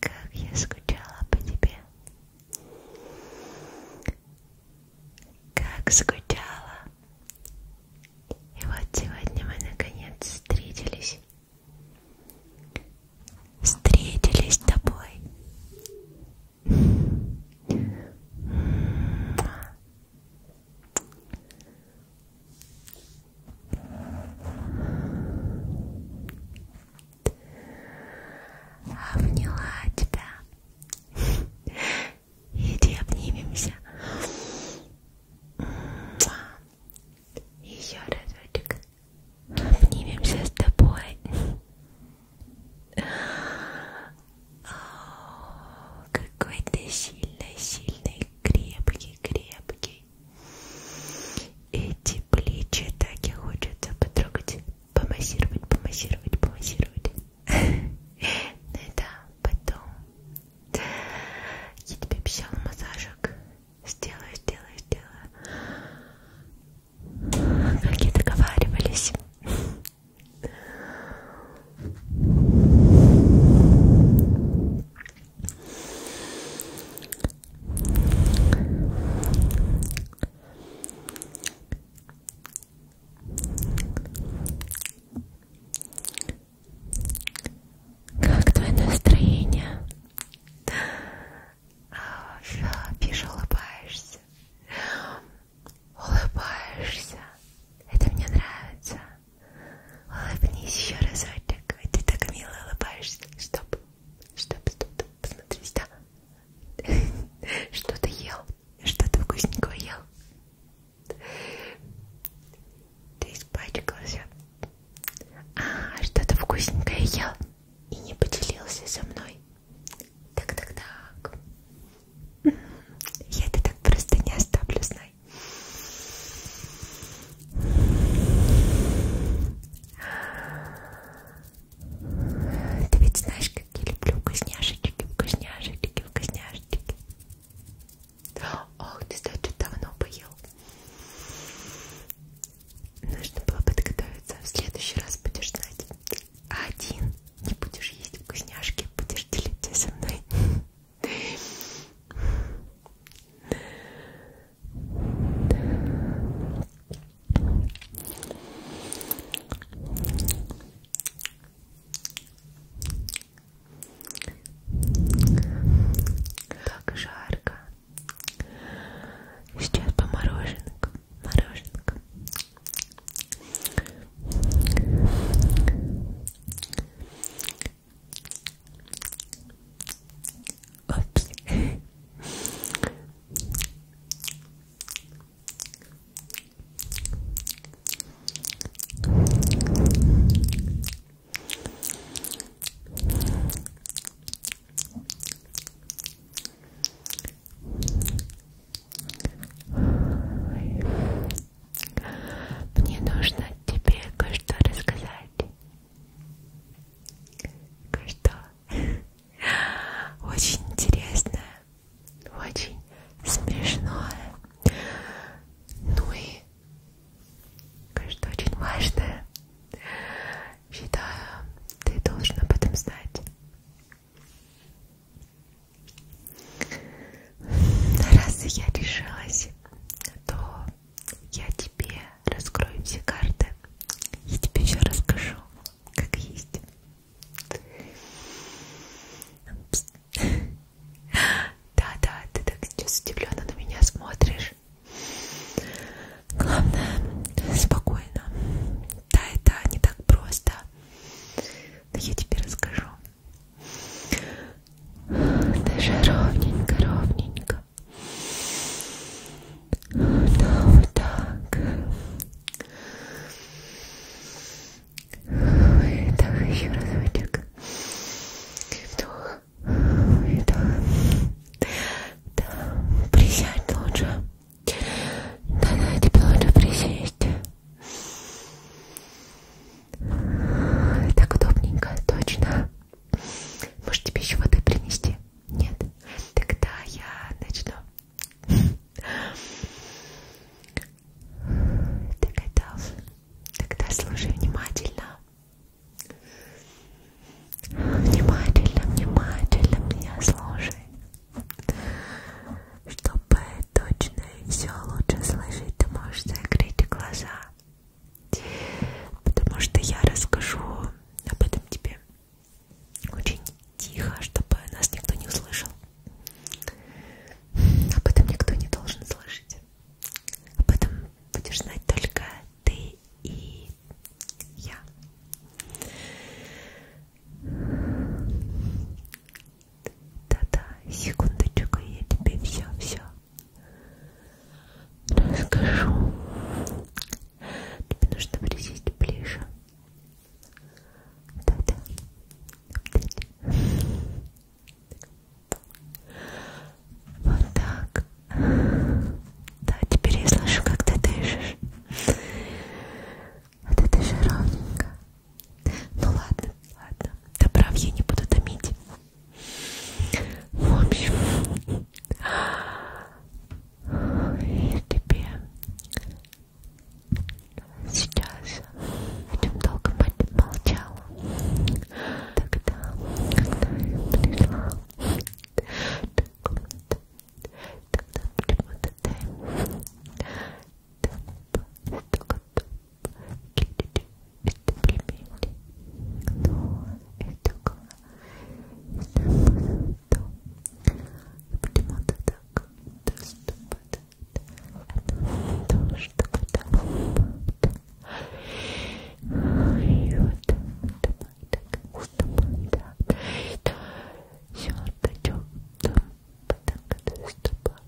Как я скучала по тебе. Как скучала. И вот сегодня мы наконец встретились. Встретились с тобой. Обняла тебя. Иди обнимемся. Еще разочек. Обнимемся с тобой. О, какой ты сильный, сильный, крепкий, крепкий эти плечи так и хочется потрогать, помассировать, помассировать, помассировать. Ну да, потом я тебе обещала массажик. Сделаю, сделаю, сделаю. Как и договаривались. Как твое настроение? Пишу, улыбаешься. Улыбаешься. Это мне нравится. Улыбнись еще разочек. Ты так мило улыбаешься. Стоп. Что, что ты? Посмотри сюда. Что ты ел? Что ты вкусненького ел? Ты испачкался. А, что-то вкусненькое ел и не поделился со мной. Так-так-так. Я это так просто не оставлю, знай. Ты ведь знаешь, как я люблю вкусняшечки, вкусняшечки, вкусняшечки. Ох, ты значит давно поел. Нужно было подготовиться. В следующий раз будешь знать. А один не будешь есть вкусняшки, будешь делиться со мной. Так жарко. Сейчас по мороженку. Мороженка. Опс. Мне нужно тебе кое-что рассказать. Кое-что очень интересное, очень смешное, ну и кое-что очень важное. Считаю, ты должен об этом знать. Раз я решилась, то я тебе раскрою все карты. Я тебе все расскажу, как есть. Да-да, ты так сейчас удивленно на меня смотришь. Главное, спокойно. Да, это не так просто. Но я тебе расскажу. Даже ровненько, ровненько. Да, вот так. Выдох, еще раз выдох. Вдох. Выдох. Да, присядь лучше. Да-да, тебе лучше присесть. Так удобненько, точно. Может тебе еще воды принести? Нет? Тогда я начну. Ты готов? Тогда слушай внимательно. Внимательно, внимательно меня слушай. Чтобы точно все лучше слышать, ты можешь закрыть глаза. Потому что я расскажу об этом тебе очень тихо, чтобы нас никто не услышал. Об этом никто не должен слышать. Об этом будешь знать только ты и я. Да-да, секундочку, я тебе все-все расскажу. Тебе нужно присесть ближе. Да-да. Вот так. Да, теперь я слышу, как ты дышишь. А ты дыши ровненько. Ну ладно, ладно. Да прав, я не буду томить. В общем, и тебе сейчас этим долго мать молчала. Тогда, когда я пришла, тогда почему-то ты только но это и будем это так доступать это то, что потом и вот так, давай так, да сердечок, там, потом доступок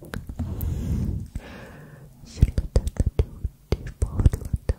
сердечок, и подло, там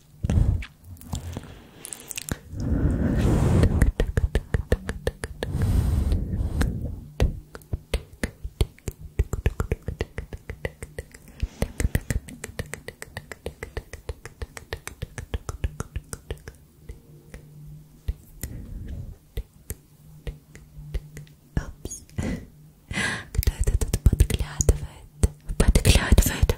Кто это тут подглядывает? Подглядывает?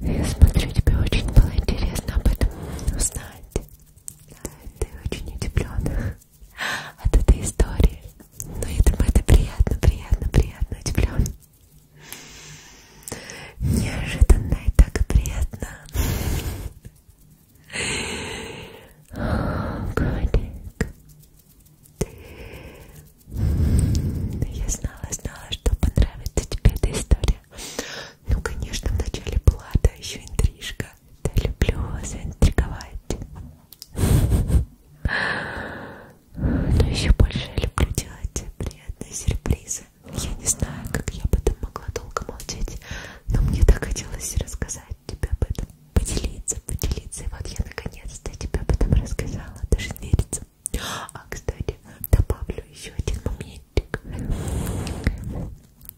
Я смотрю, тебе очень было интересно об этом узнать. Ты очень удивлен от этой истории. Но ну, я думаю, это приятно, приятно, приятно удивлен. Неожиданно и так приятно. О, Годик. Ну, я знала, знала, что понравится тебе эта история. Ну, конечно, вначале была та еще интрижка. Да, люблю вас интриговать. Но еще больше я люблю делать приятные сюрпризы. Я не знаю, как я об этом могла долго молчать, но мне так хотелось рассказать тебе об этом. Поделиться, поделиться. И вот я наконец-то тебе об этом рассказала. Даже не верится. А, кстати, добавлю еще один моментик.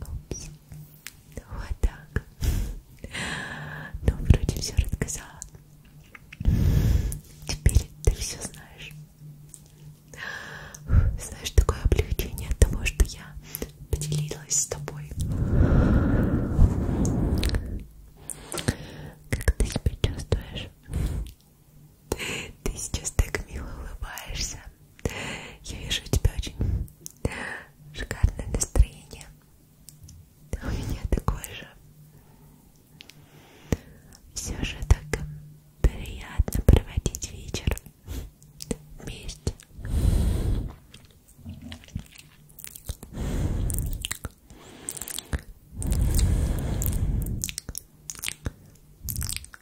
Упс. Вот так. Ну, вроде все рассказала. Теперь ты все знаешь. Знаешь, такое облегчение от того, что я поделилась с тобой. Как ты себя чувствуешь? Ты сейчас так мило улыбаешься. Я вижу у тебя очень шикарное настроение. У меня такое же. Все же так приятно проводить вечер вместе.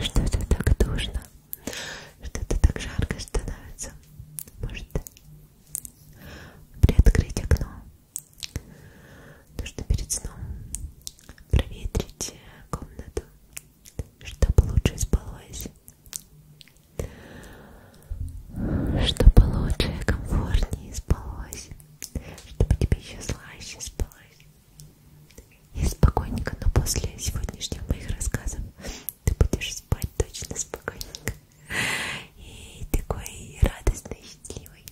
Что-то так душно, что-то так жарко становится. Может, приоткрыть окно? Нужно перед сном проветрить комнату, чтобы лучше спалось, чтобы лучше и комфортнее спалось, чтобы тебе еще слаще спалось. И спокойненько, но после сегодняшних моих рассказов ты будешь спать точно спокойненько. И такой радостный, счастливый.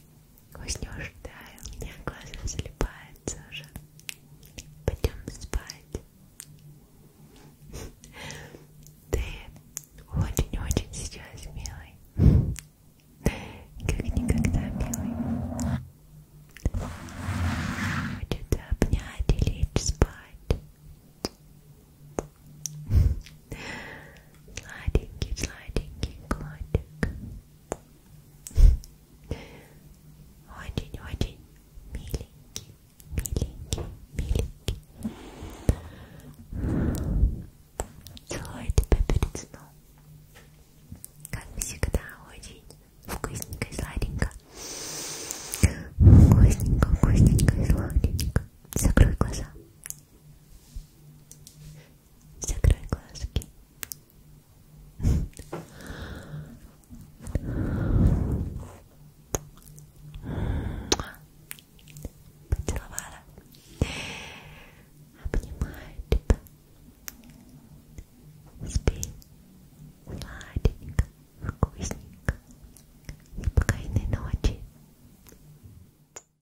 Уснешь, да, и у меня глаза залипаются уже. Пойдем спать. Ты очень-очень сейчас милый. Как никогда милый. Хочется обнять и лечь спать. Сладенький, сладенький котик. Очень-очень миленький, миленький, миленький. Целую тебя перед сном. Как всегда, очень вкусненько и сладенько. Вкусненько, вкусненько и сладенько. Закрой глаза. Закрой глазки. Поцеловала. Обнимаю тебя. Спи. Сладенько, вкусненько. Спокойной ночи.